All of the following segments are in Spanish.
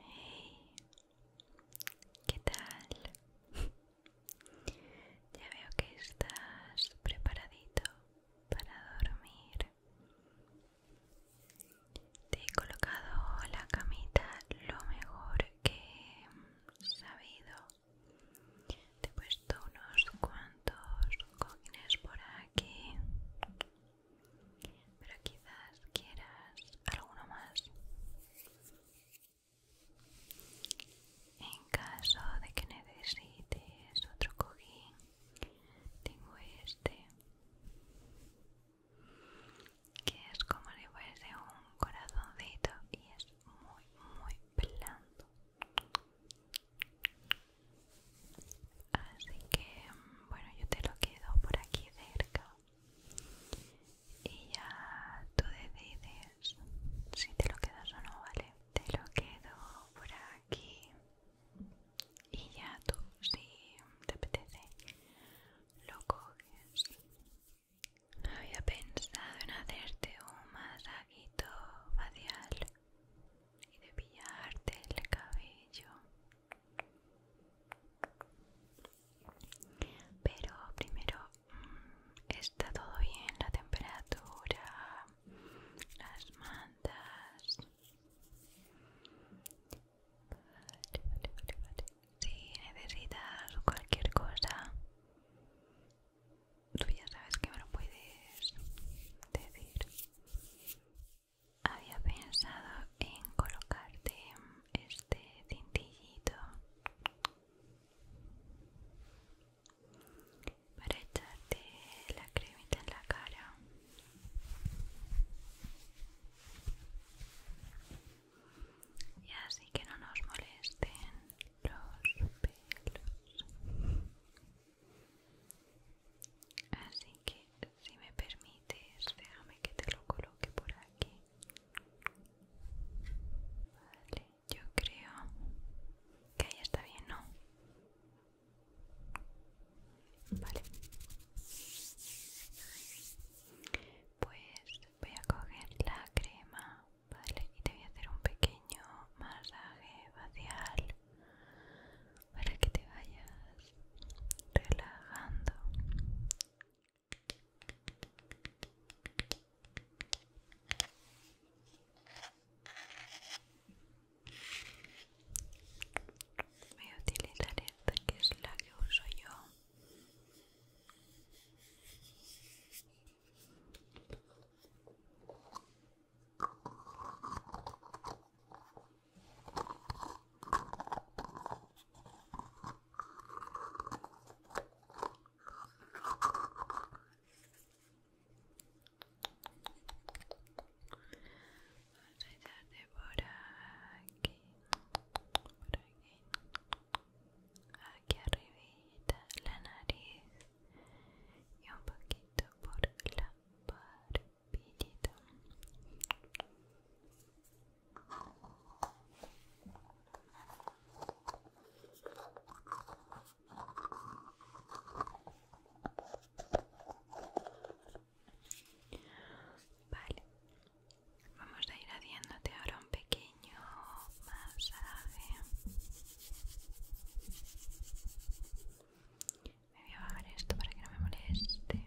Hey, ¿qué tal? Ya veo que estás preparadito para dormir. Te he colocado la camita lo mejor que he sabido. Te he puesto unos cuantos cojines por aquí pero quizás quieras alguno más. En caso de que necesites otro cojín, tengo este, que es como si fuese un corazoncito y es muy, muy blando. Así que, bueno, yo te lo quedo por aquí cerca y ya tú decides si te lo quedas o no, ¿vale? Te lo quedo por aquí y ya tú, si te apetece, lo coges. Había pensado en hacerte un masajito facial y de pillarte el cabello. Pero primero, mm, ¿está todo bien? La temperatura, las mantas. vale, vale, Si necesitas cualquier cosa, tú ya sabes que me lo puedes decir había pensado en colocarte este cintillito para echarte la cremita en la cara y así que no nos molesten los pelos Así que si me permites, déjame que te lo coloque por aquí. Vale, yo creo que ahí está bien, ¿no? Vale. Pues voy a coger la crema, ¿vale? Y te voy a hacer un pequeño masaje facial para que te vayas relajando. Voy a utilizar esta que es la que uso yo. Vamos a por aquí, por aquí, aquí arribita, la nariz y un poquito por la parte pitito. Vale, vamos a ir haciéndote ahora un pequeño masaje me voy a bajar esto para que no me moleste.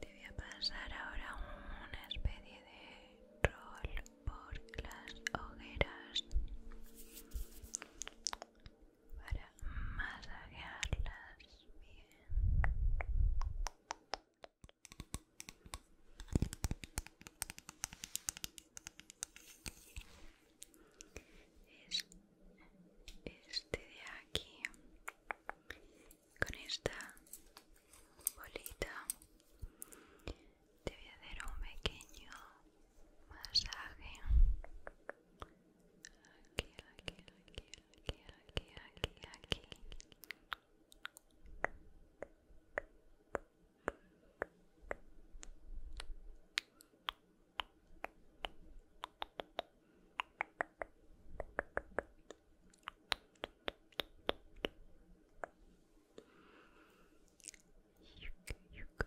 Te voy a pasar ahora una especie de rol por las hogueras para masajearlas bien. Es este de aquí con esta bolita te voy a hacer un pequeño masaje aquí, aquí, aquí, aquí, aquí, aquí, aquí. Yuka,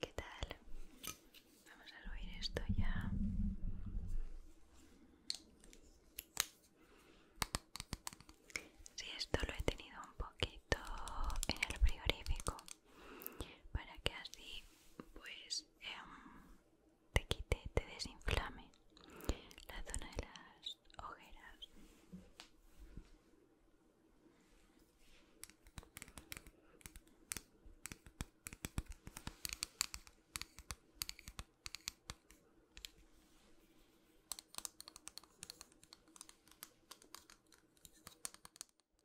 ¿Qué tal? Vamos a oír esto ya. Si sí, esto lo he tenido un poquito en el priorífico para que así pues em, te quite, te desinflame la zona de las ojeras.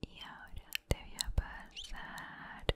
Y ahora te voy a pasar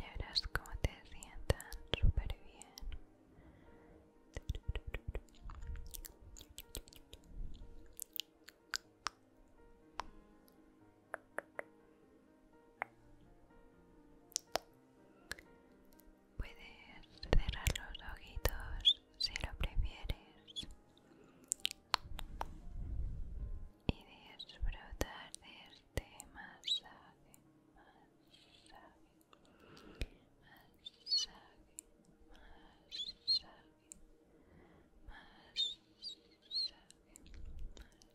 Ya verás cómo te sientan súper bien. Puedes cerrar los ojitos si lo prefieres y disfrutar de este masaje, masaje, masaje, masaje, masaje, masaje.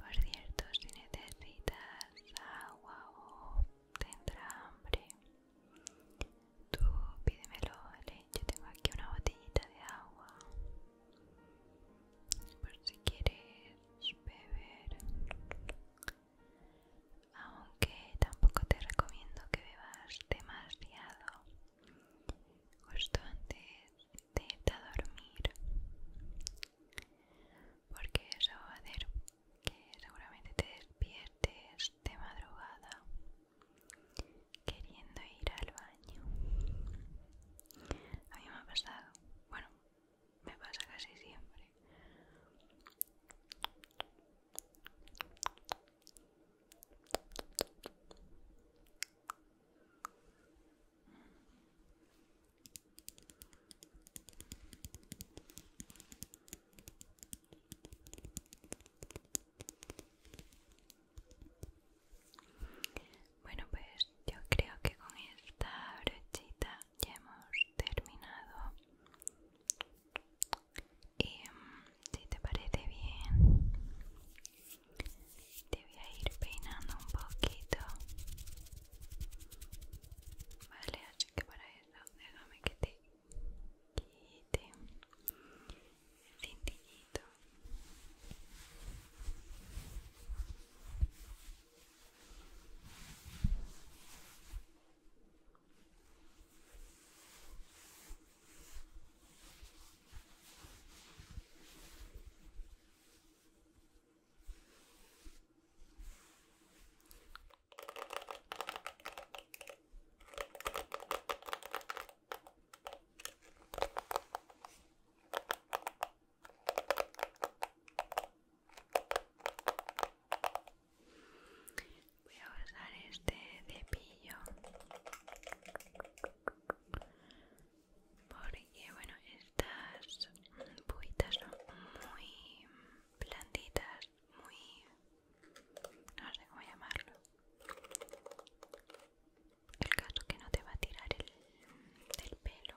Por cierto, si necesitas agua o tendrás hambre, tú pídemelo, ¿vale? Yo tengo aquí una botellita de agua. Por si quieres beber. Aunque tampoco te recomiendo que bebas demasiado. Justo antes vete a dormir porque eso va a hacer que seguramente te despiertes de madrugada queriendo ir al baño a mí me ha pasado bueno me pasa casi siempre bueno, pues yo creo que con esta brochita ya hemos terminado. Y em, si te parece bien, te voy a ir peinando un poquito vale así que para eso déjame que te quite el cintillito Voy a usar este cepillo porque bueno estas puitas son muy blanditas muy no sé cómo llamarlo el caso que no te va a tirar el pelo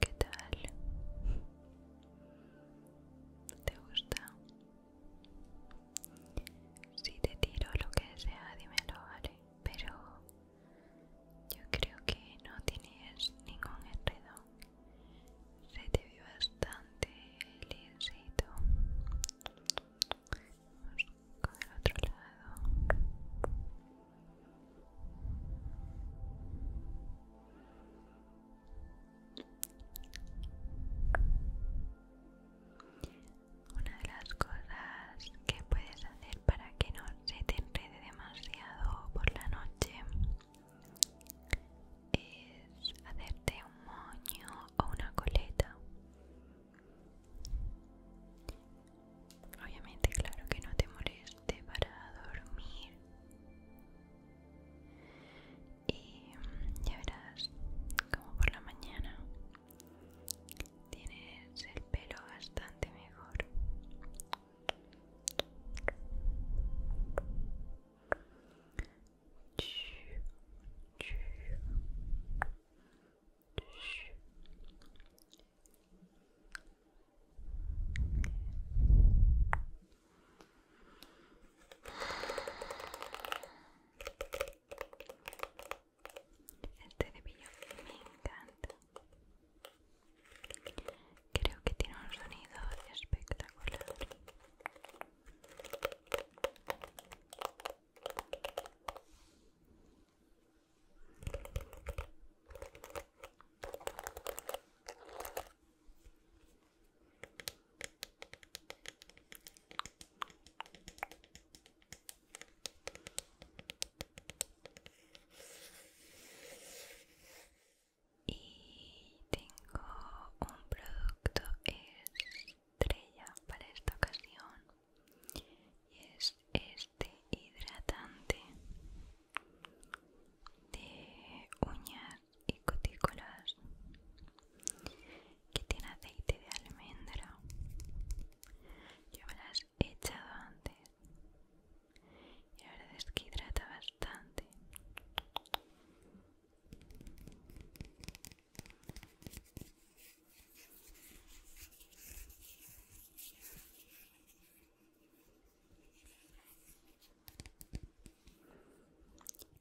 ¿Qué tal? ¿Te gusta? Si te tiro lo que sea, dímelo, ¿vale? Pero yo creo que no tienes ningún enredo. Se te ve bastante lisito. Vamos con el otro lado. Una de las cosas que puedes hacer para que no se te enrede demasiado por la noche es hacerte un moño o una coleta obviamente claro que no te moleste para dormir y ya verás como por la mañana Tienes el pelo bastante mejor este de me encanta. Creo que tiene un sonido espectacular. Y tengo un producto estrella para esta ocasión y es este hidratante de uñas y cutículas que tiene aceite de almendra yo me las he echado antes. Y la verdad es que hidrata bastante.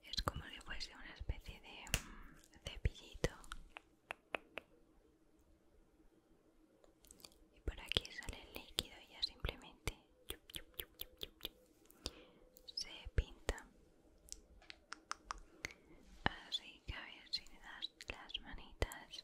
Es como si fuese una especie de mm, cepillito y por aquí sale el líquido y ya simplemente se pinta así que a ver si le das las manitas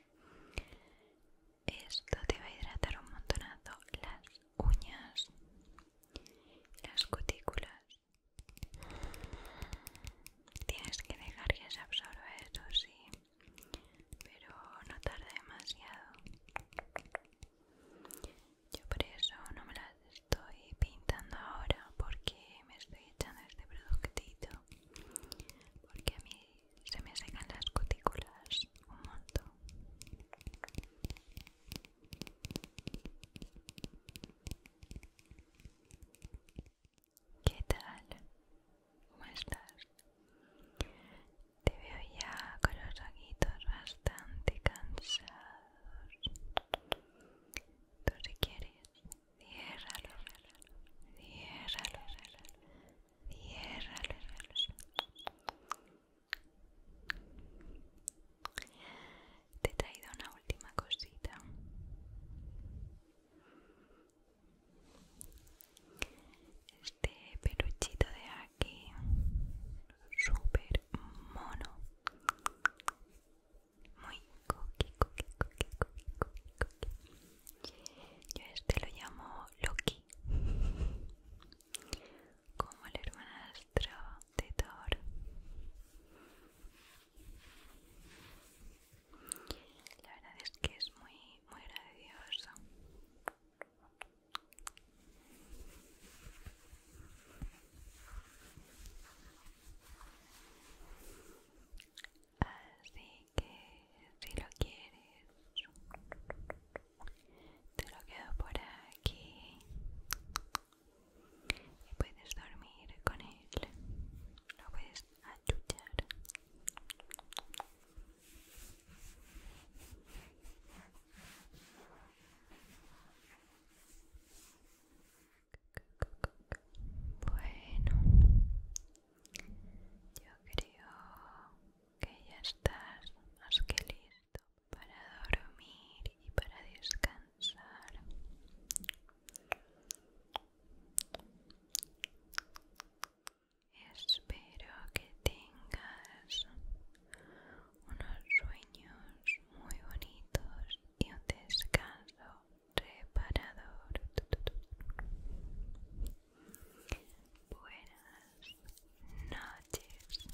Esto te va a hidratar un montonazo las uñas, las cutículas. Tienes que dejar que se absorba eso, sí, pero no tarde demasiado. Yo por eso no me las estoy pintando ahora porque me estoy echando este productito porque a mí se me secan las cutículas un montón. ¿Qué tal? ¿Cómo estás? Te veo ya con los ojitos bastante cansados. Tú si quieres, Ciérralo, ciérralo, ciérralo, Te he traído una última cosita. Este peluchito de aquí, super mono. Muy coqui, coqui, coqui, coqui, coqui, coqui. Yo este lo llamo Loki, como el hermanastro de Thor. La verdad es que es muy, muy gracioso. Así que si lo quieres te lo quedo por aquí y puedes dormir con él lo puedes achuchar bueno, yo creo que ya estás más que listo para dormir y para descansar. Espero que tengas unos sueños muy bonitos y un descanso reparador. Buenas noches.